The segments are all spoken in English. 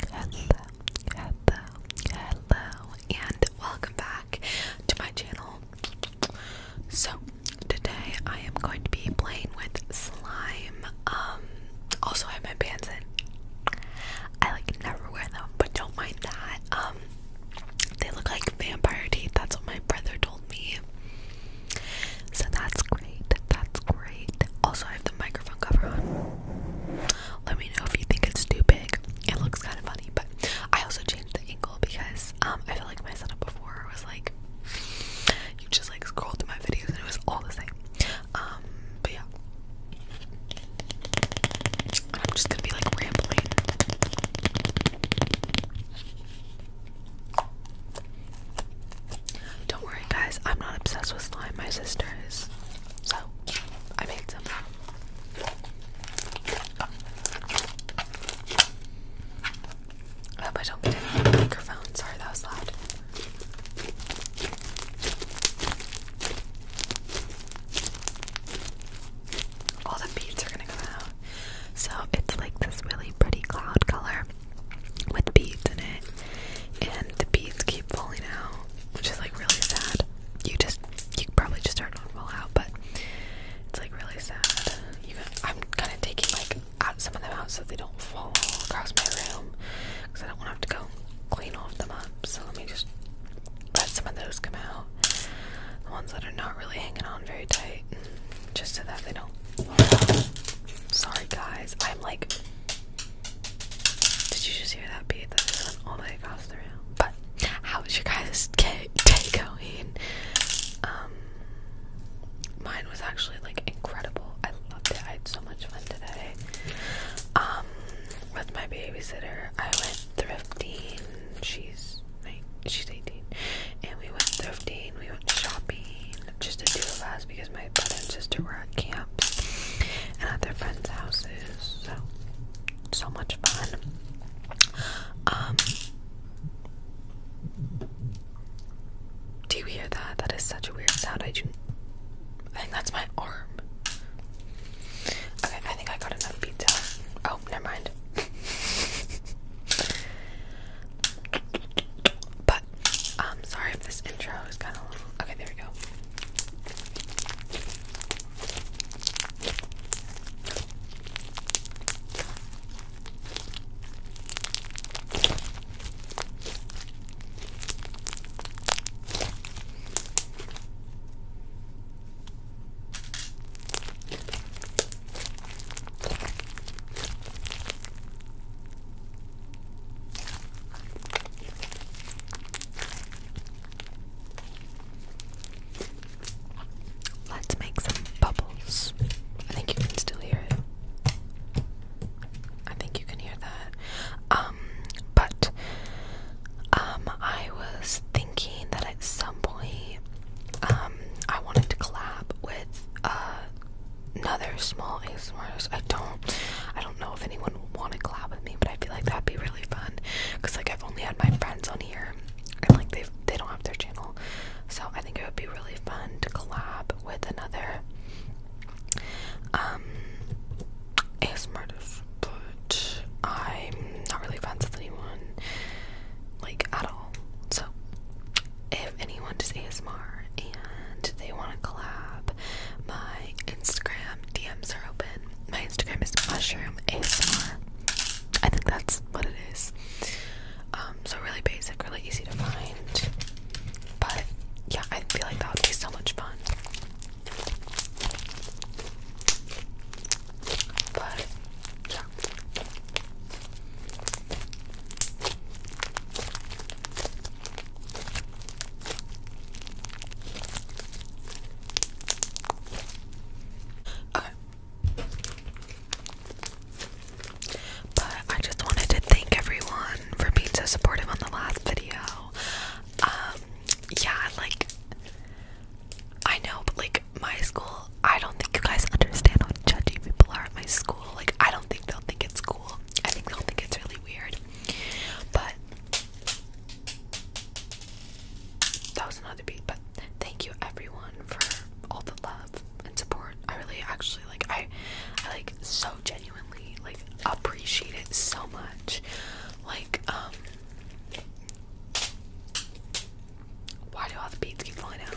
Hello, hello, hello, and welcome back to my channel. So, today I am going to be playing with slime. Um, also I have my pants in. I like never wear them, but don't mind that. Um, they look like vampire teeth, that's what my brother told me. So that's great, that's great. Also I have the microphone cover on let me know if you think it's too big. It looks kind of funny, but I also changed the angle because um, I feel like my setup before was like you just like scrolled through my videos and it was all the same. Um, but yeah, I'm just gonna be like rambling. Don't worry, guys. I'm not obsessed with slime. My sister is. So I made some. Oh. I hope microphone. Sorry, that was loud. All the beads are gonna come out. So it's like this really pretty cloud color with beads in it and the beads keep falling out, which is like really sad. You just you probably just start to fall out, but it's like really sad. I'm kind of taking like out some of them out so they don't fall across my room because I don't want to have to go clean off of them up. So let me just let some of those come out, the ones that are not really hanging on very tight, just so that they don't. Sorry guys, I'm like did you just hear that beat that was went all the way across the room? But how was your guys' day going? Um, mine was actually like incredible. I loved it. I had so much fun today. Um, with my babysitter, I went thrifting. She's she's 18, and we went thrifting. We went shopping just the two of us because my brother and sister were at camps and at their friends' houses. So so much fun. Um Do you hear that? That is such a weird sound. I do think that's my arm. Okay, I think I got enough pizza. Oh, never mind. but I'm um, sorry if this intro is kinda Okay, there we go. Let's make some bubbles. I think you can still hear it. I think you can hear that. Um, but um, I was thinking that at some point, um, I wanted to collab with uh another small ASMRs. I don't, I don't know if anyone will want to collab with me, but I feel like that'd be really fun. Cause like I've only had my friends on here, and like they they don't have their channel, so I think it would be really fun to collab with another um ASMRist. But I'm not really friends with anyone, like at all. So if anyone does ASMR and they want to collab, my Instagram DMs are open. My Instagram is mushroom ASMR. I think that's what it is. Um, so really basic, really easy to find. But yeah, I feel like that would be so much fun. But yeah. But I just wanted to thank everyone for being so supportive on the last video. Um, yeah, like I know, but like my school, I don't think you guys understand how judgy people are at my school. Like I don't think they'll think it's cool I think they'll think it's really weird. But that was another beat. But thank you everyone for all the love and support. I really actually like I I like so genuinely like appreciate it so much. Like, um why do all the beads keep falling out?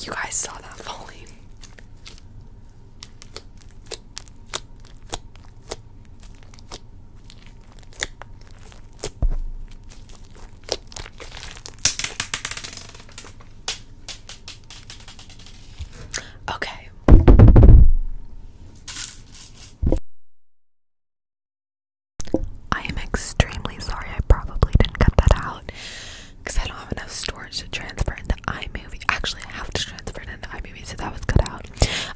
You guys saw that falling. Okay. I am extremely sorry I probably didn't cut that out because I don't have enough storage to transfer into iMovie. Actually, I have to transfer it into iMovie, so that was cut out.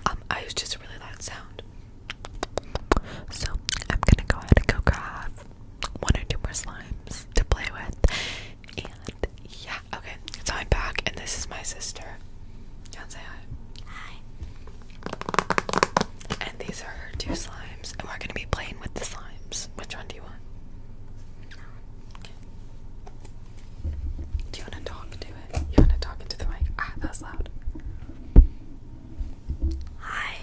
Um, I was just a really loud sound. So I'm gonna go ahead and go grab one or two more slimes to play with. And yeah, okay, so I'm back, and this is my sister. say hi. Hi. And these are two slimes, and we're gonna be playing with the slimes. Which one do you want? Do you want to talk to it? You want to talk into the mic? Ah, that loud. Hi.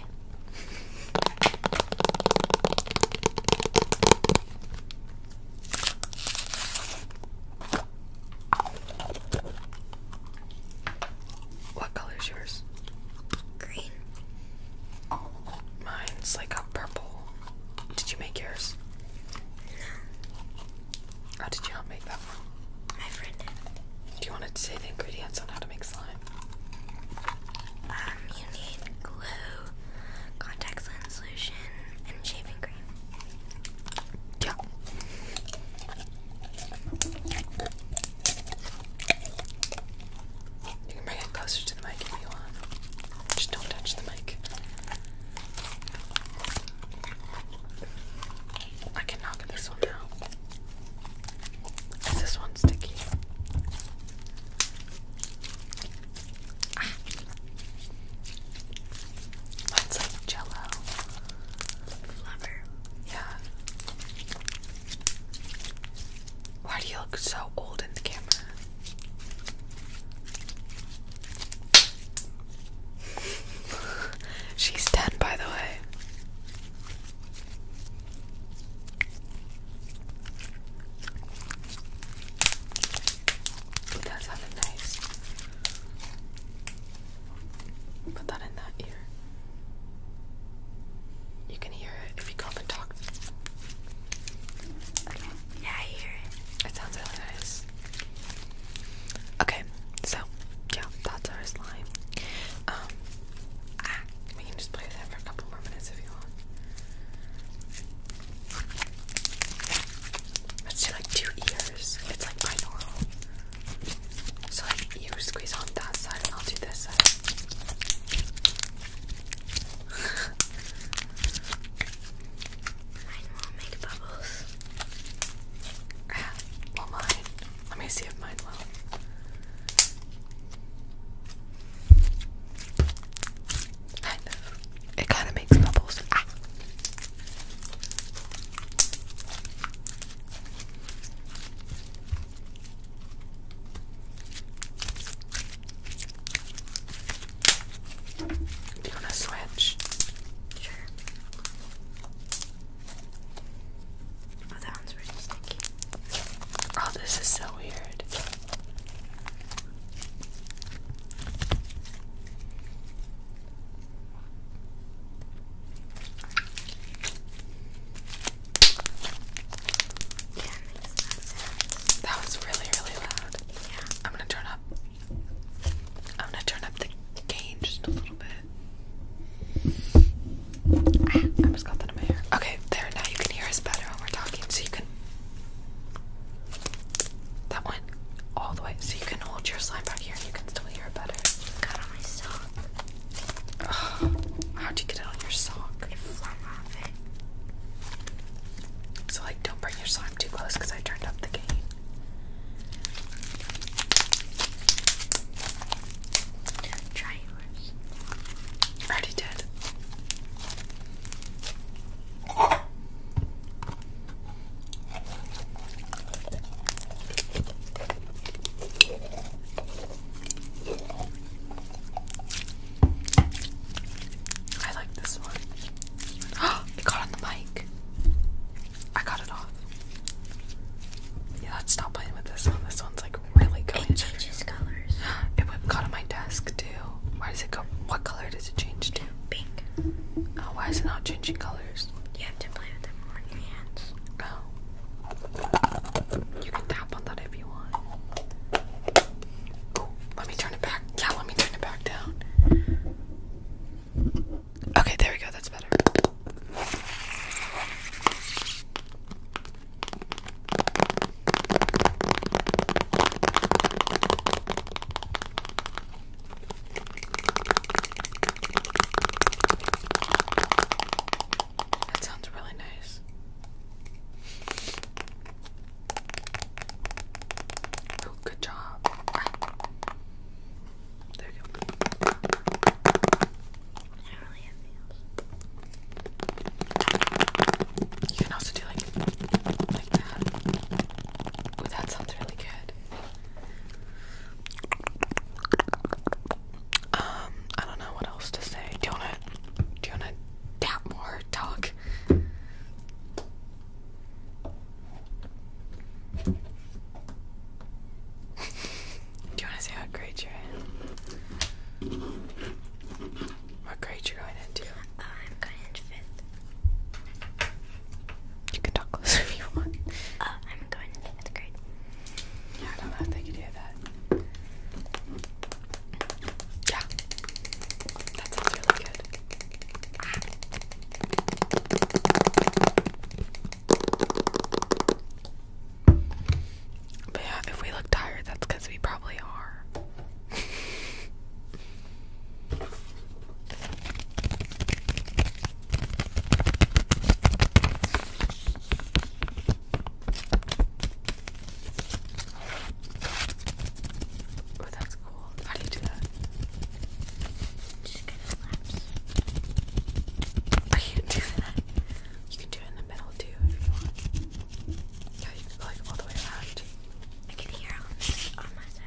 What color is yours? green. Mine's like a purple. Did you make yours? How oh, did you not make that one? My friend did. Do you want to say the ingredients on how to make slime? Um, you need glue, contact lens solution, and shaving cream. Yeah. You can bring it closer to the mic if you want. Just don't touch the mic. I can knock this one out. Is this one sticky? Ah. like jello. Flubber. Yeah. Why do you look so old in the camera? She's 10, by the way. Ooh, that nice. Put that in that ear. You can hear it if you go and talk. Yeah, I hear it. It sounds really nice. Okay, so yeah, that's our slime. Um, ah, we can just play that for a couple more minutes if you want. Let's do like two ears. It's like binaural. So like you squeeze on that side and I'll do this side. Mine won't make bubbles. well mine. Let me see if mine will. It kind of makes bubbles. Ah! Do you want to switch? Sure. Oh, that one's pretty sticky. Oh, this is so weird that, was really, really loud. Yeah. I'm gonna turn up. I'm gonna turn up the gain just a little bit. Ah, I just got that in my hair. Okay, there. Now you can hear us better when we're talking, so you can. That went all the way, so you can hold your slime back here and you can still hear it better. Got on my sock. How'd you get it on your sock? It flung off it. So like, don't bring your slime too close because I turned up the game. Try yours. already did. I like this one. Oh, it got on the mic. I got it off. Yeah, let's stop playing with this one. This one's like really good. It changes colors. It went on my desk too. Why does it go? What color does it change to? Pink. Oh, why is it not changing color? You have to play with them on your hands. Oh. You can tap on that if you want. let me turn it back. Yeah, let me turn it back down. Okay, there we go. That's better. That sounds really nice. good job. Ah. There you go. I don't really have nails. You can also do like like Ooh, that sounds really good. Um, I don't know what else to say. Do you wanna do you wanna tap more talk? do you wanna say what grade you're in? What grade you're going into? Uh, I'm going into fifth. You can talk closer if you want. Uh, I'm going into fifth grade. Yeah, I don't know if they could hear that. Yeah. That sounds really good. But yeah, if we look tired, that's because we probably are. Oh, that's cool. How do you do that? Just get a lapse. I can't do that. You can do it in the middle too if you want. Yeah, you can go like all the way around. I can hear on my side.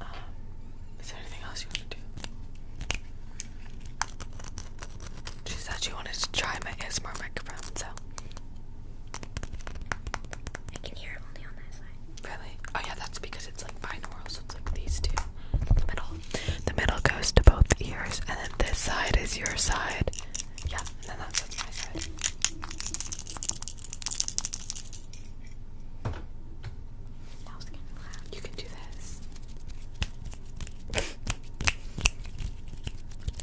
Um, is there anything else you want to do? She said she wanted to try my ASMR microphone, so. I can hear it only on that side. Really? Oh yeah, that's because it's like binaural, so it's like these two in the the middle goes to both ears, and then this side is your side. Yeah, and then that's my side. That was kind loud. You can do this.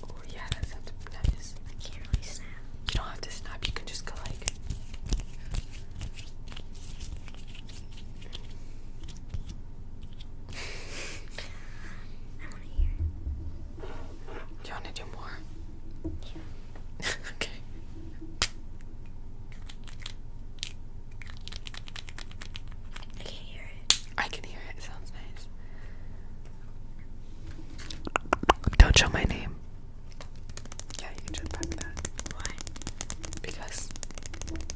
oh yeah, that sounds nice. I can't really snap. You don't have to snap. You can just go like. I you want to do more? okay. I can't hear it. I can hear it. sounds nice. Don't show my name. Yeah, you can just that. Why? Because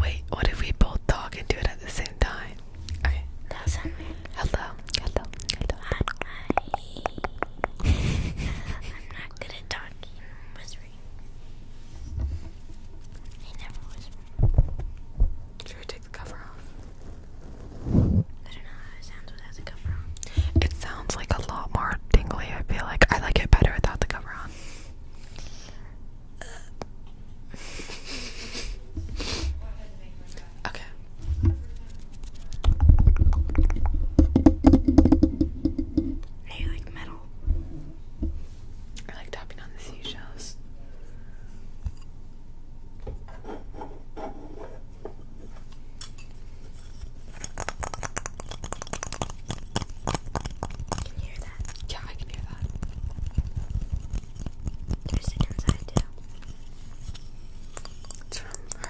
Wait, what if we both talk and do it at the same time? Okay. Hello, hello, hello. Hi. I'm not good at talking and whispering. I never whisper. Should we take the cover off? I don't know how it sounds without the cover on. It sounds like a lot more tingly, I feel like. I like it better without the cover on. Uh. Okay. Hey, like metal. I like tapping on the seashells. Can hear that? Yeah, I can hear that. There's a different too. It's from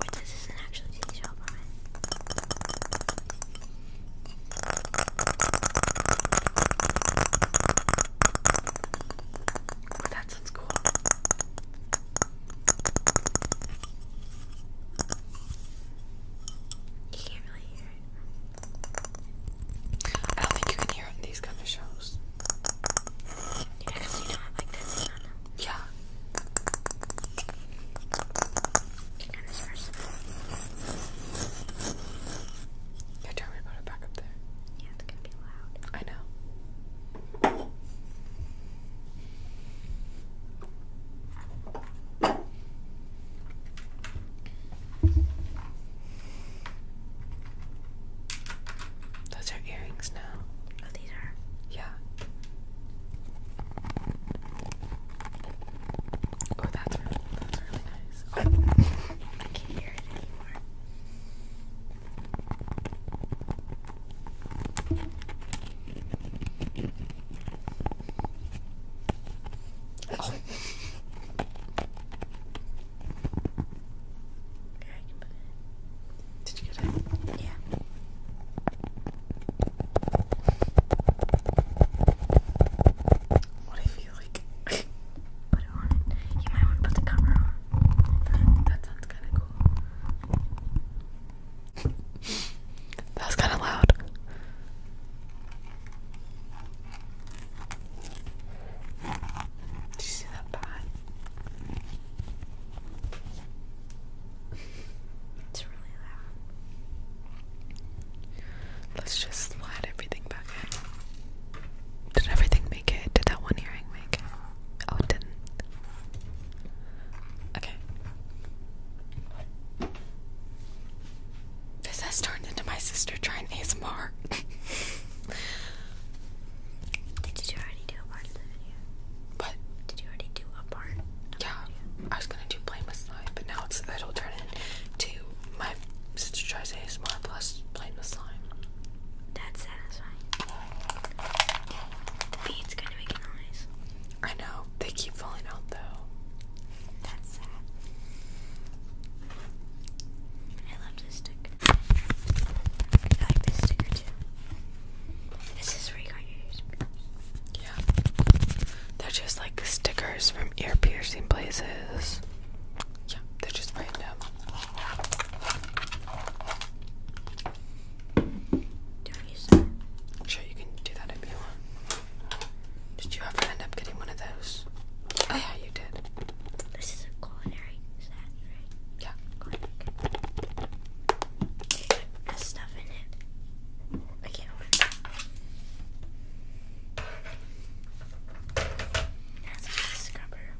Wait, this is an actual TV show, that sounds cool. You can't really hear it. I don't think you can hear it in these kind of shows. Yeah, because you know Yeah. tell me to it back up there. Yeah, it's gonna be loud. I know. Those are earrings now. Oh, these are? Yeah. Oh, that's really, that's really nice. I can't hear it anymore. Oh. Did you get it? Yeah. What if you like put it on You might want to put the cover on. that sounds kind of cool. that was kind of loud. Did you see that pot? it's really loud. Let's just slide everything back in. Did everything make it? Did that one earring make it? Oh, it didn't. Okay. This has turned into my sister trying ASMR. Did you already do a part of the video? But did you already do a part? yeah, I was gonna do plain slime, but now it'll turn into my sister tries ASMR plus plain with slime. That's satisfying. The bead's gonna make noise. I know. They keep falling out though. That's sad. I love this sticker. I like this sticker too. This is where you got your Yeah. They're just like stickers from ear piercing places. Yeah, they're just random. Don't use that. Sure, you can do that if you want. Did you ever end up getting one of those? Oh yeah, you did. This is a culinary set, right? Yeah. stuff in it. I can't open it. a scrubber.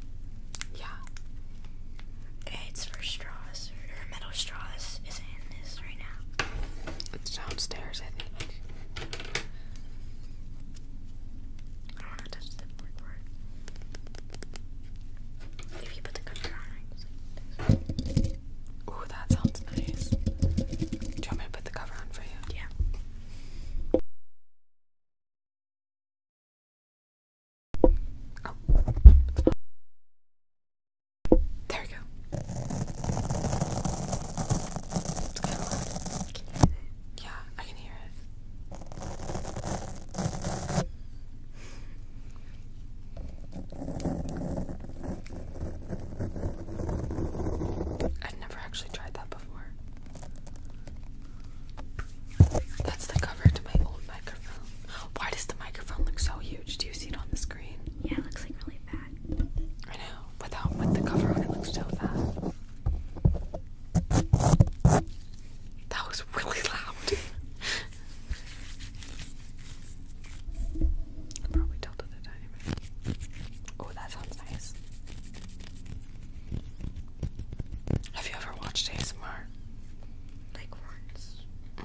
Yeah. it's for straws. Or metal straws isn't in this right now. It's downstairs, I think. I don't want to touch the black If you put the cover on, Ooh, that sounds nice. Do you want me to put the cover on for you? Yeah. Oh. There we go. Yeah, I can hear it. I've never actually tried that before. That's the cover to my old microphone. Why does the microphone look so huge? Do you see it on the screen? Yeah, it looks like really fat. I know without with the cover on. It looks so bad. That was really loud. Probably tilted a tiny bit. Oh, that sounds nice. Have you ever watched ASMR? Like once. Mm.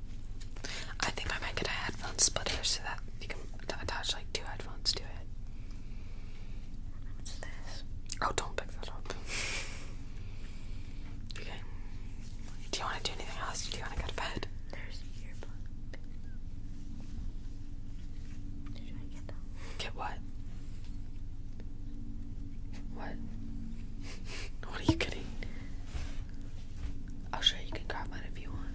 I think I might get a headphone splitter so that you can attach like two headphones to it. What's this? Oh, don't pick that up. Okay. Do you want to do anything else? Do you want to go to bed? There's earplug. Should I get that? Get what? What? what are you kidding? I'll show you. You can grab one if you want.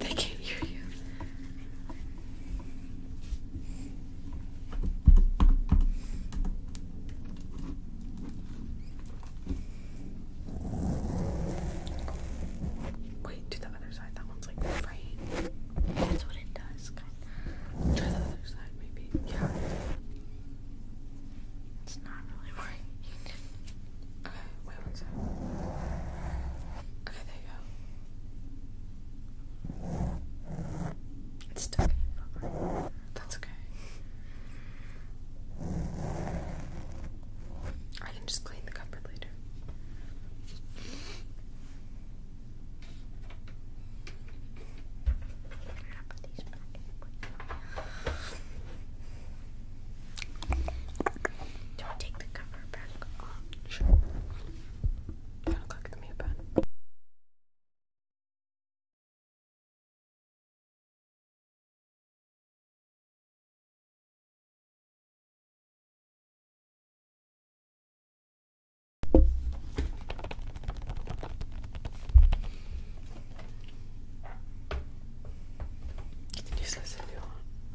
they can't hear you. Wait, do the other side. That one's like right. That's what it does. Try the other side, maybe. Yeah. It's not really working. okay, wait one second. Okay, there you go. It's stuck in your That's okay. I can just clean the cupboard later going Do I take the cover back off? Sure. You to click the mute button.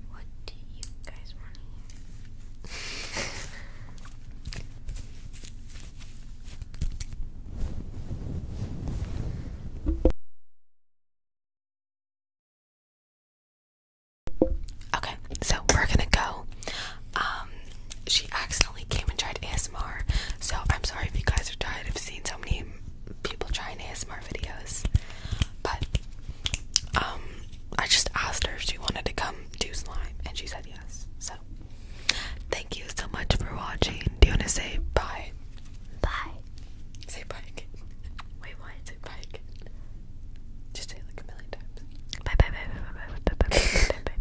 What do you guys want to hear? Okay, so we're gonna go. Um, she asked accidentally came and tried ASMR. So I'm sorry if you guys are tired of seeing so many people trying ASMR videos. But I just asked her if she wanted to come do slime and she said yes. So thank you so much for watching. Do you wanna say bye? Bye. Say bye again. Wait, what? Say bye again. Just say it like a million times. Bye bye bye bye bye bye bye bye bye bye bye bye.